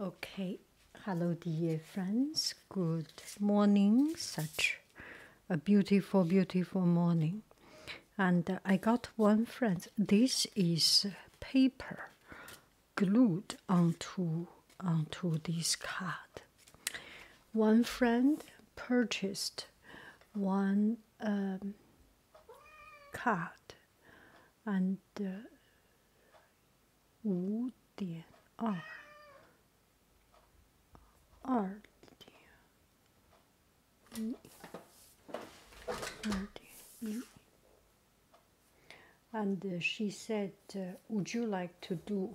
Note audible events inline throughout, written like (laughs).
Okay, hello, dear friends. Good morning. Such a beautiful, beautiful morning. And I got one friend. This is paper glued onto onto this card. One friend purchased one um, card, and uh, 五点二，二点一，二点一。And uh, she said, uh, "Would you like to do?"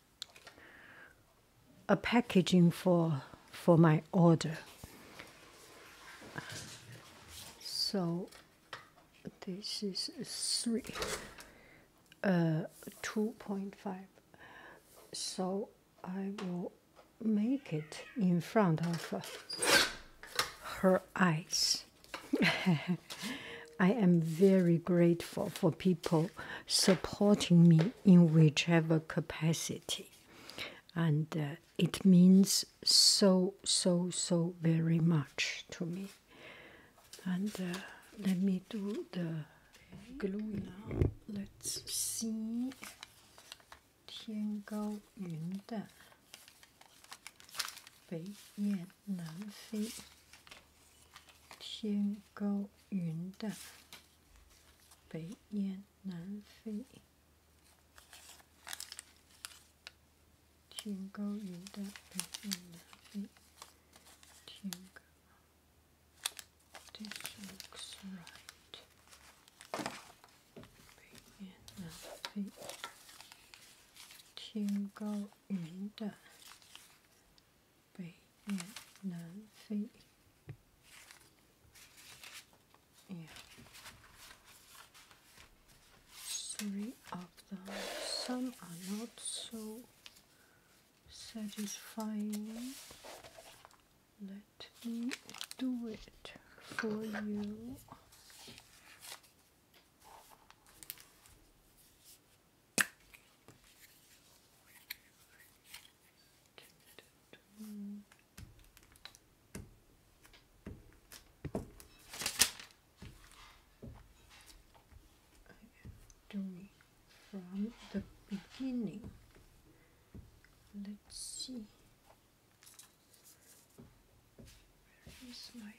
a packaging for for my order. So this is three uh 2.5 so I will make it in front of her eyes (laughs) I am very grateful for people supporting me in whichever capacity. And uh, it means so, so, so very much to me. And uh, let me do the glue now. Let's see. 天高云淡，北雁南飞。天高云淡，北雁南飞。天高云淡，北雁南飞。天高，This looks right. 北雁南飞。天高云淡。北越南非。Yeah. Three of them. Some are not so satisfying. Let me do it for you doing from the beginning. Let's see. Where is my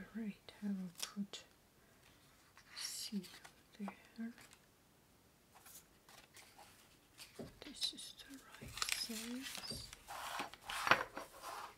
Alright, I will put C there. This is the right size.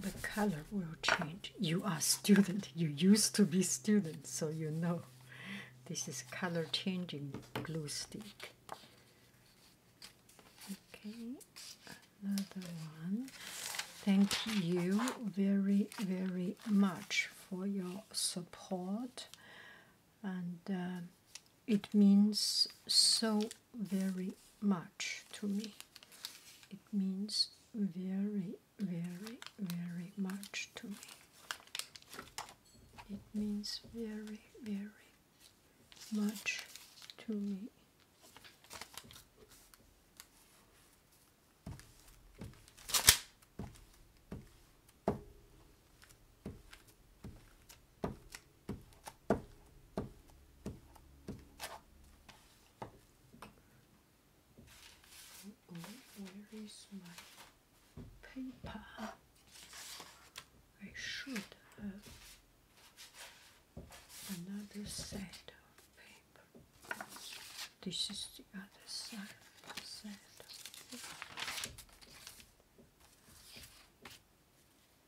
the color will change. You are student. You used to be student, so you know. This is color changing glue stick. Okay, another one. Thank you very, very much for your support, and uh, it means so very much to me. It means very, very, very much to me. It means very, very much to me where is my paper? I should have another set of paper. This is the other side of the set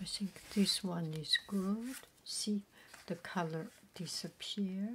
I think this one is good. See the color disappear.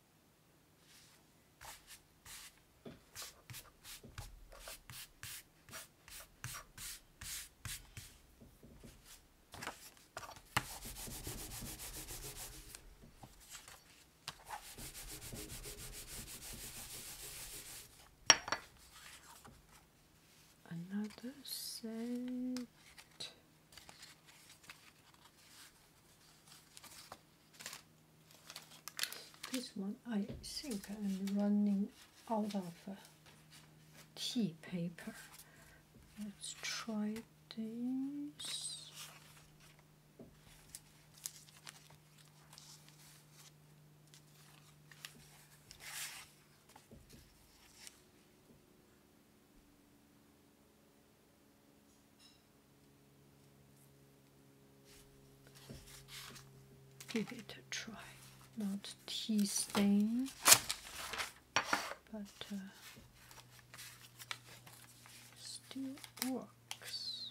Another set. This one, I think I'm running out of uh, tea paper. Let's try this. Give it a try. Not tea stain, but uh, still works.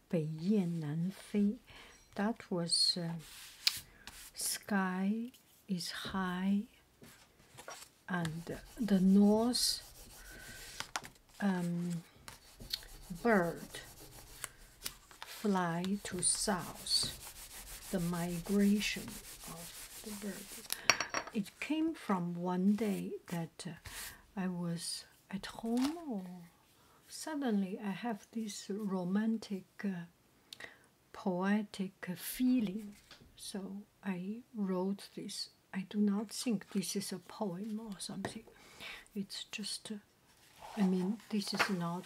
北雁南飞. That was uh, sky is high, and the north um, bird fly to south. The migration of the bird. It came from one day that uh, I was at home suddenly I have this romantic, uh, poetic uh, feeling. So I wrote this. I do not think this is a poem or something. It's just, uh, I mean, this is not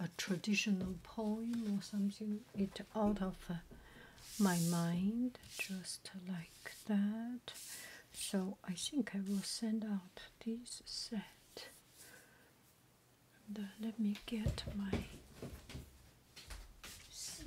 a traditional poem or something. It out of my mind, just like that. So I think I will send out this set. Uh, let me get my seal.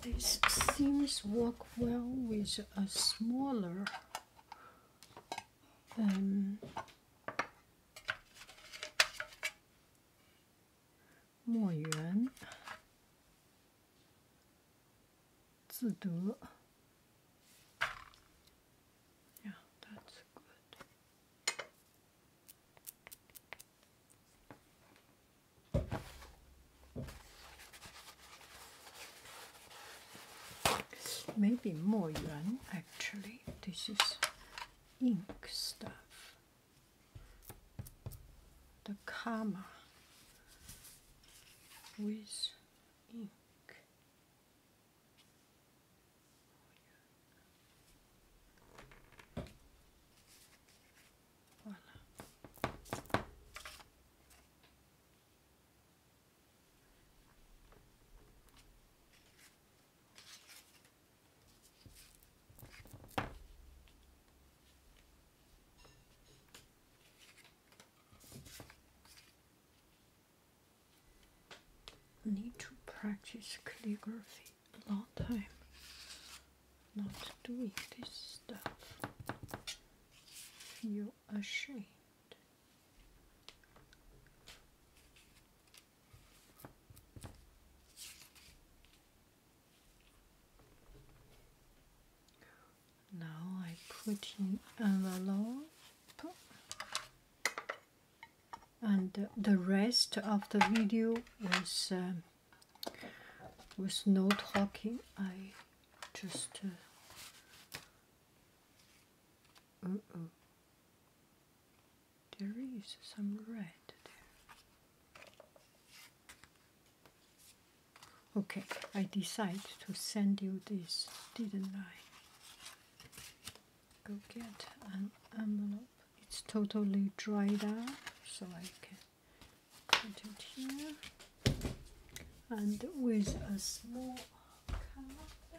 These seams work well with a smaller um, more yuan 自得. Yeah, that's good. Maybe more yuan actually. This is ink stuff. The karma with ink. Voilà. Need to practice calligraphy a long time. Not doing this stuff. Feel ashamed. Now I put in envelope and the rest of the video was with no talking. I just uh, there is some red there. Okay, I decided to send you this, didn't I? Go get an envelope. It's totally dried out, so I can put it here. And with a small card,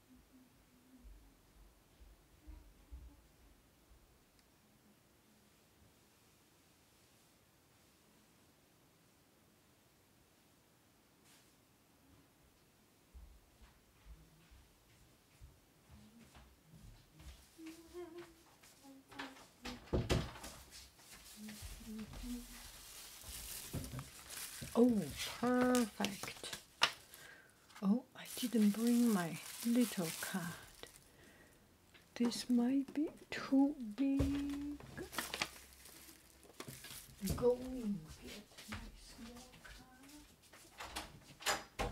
Oh, perfect. Oh, I didn't bring my little card. This might be too big. Going to get my small card.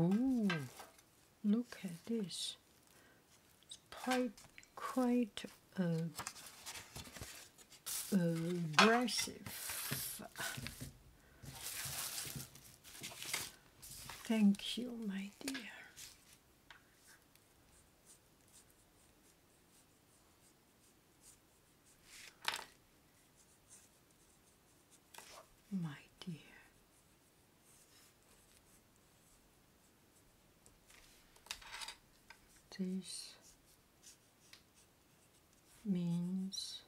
Oh, look at this. quite, quite uh, aggressive. Thank you, my dear. My dear. This means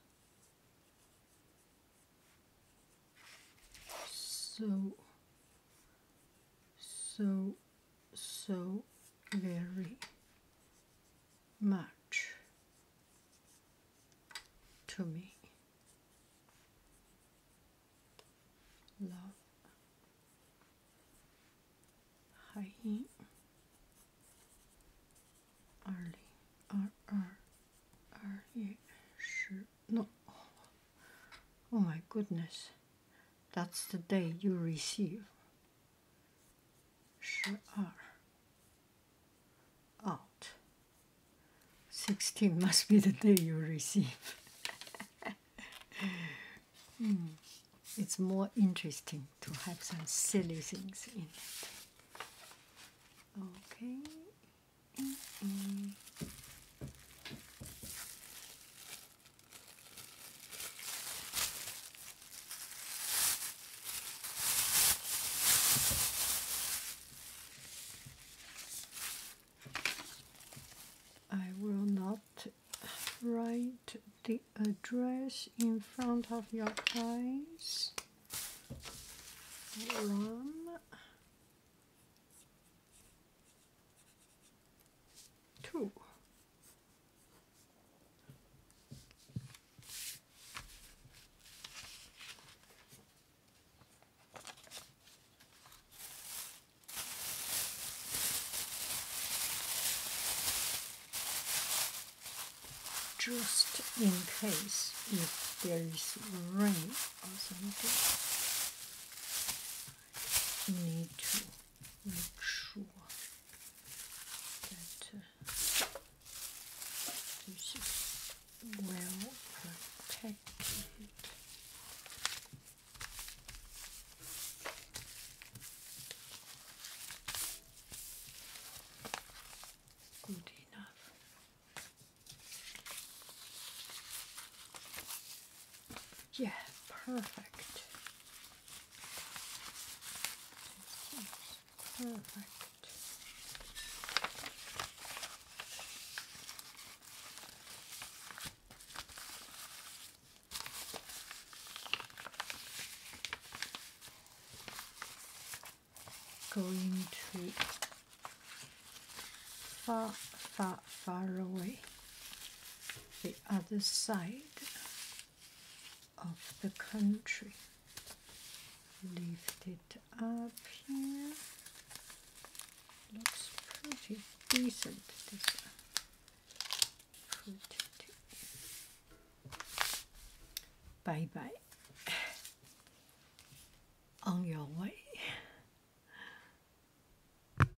so so, so very much to me. Love. Haim Arli R R oh my goodness that's the day you receive. 12 out. 16 (laughs) must be the day you receive. (laughs) Hmm. It's more interesting to have some silly things in it. Okay. Mm-hmm. I will not write the address in front of your eyes. One, Two. just in case if there is rain or something need to make sure that uh, this is well protected. Good enough. Yeah, perfect. Perfect. Going to fa fa far away, the other side of the country. Lift it up here. Looks pretty decent. This Bye bye. On your way.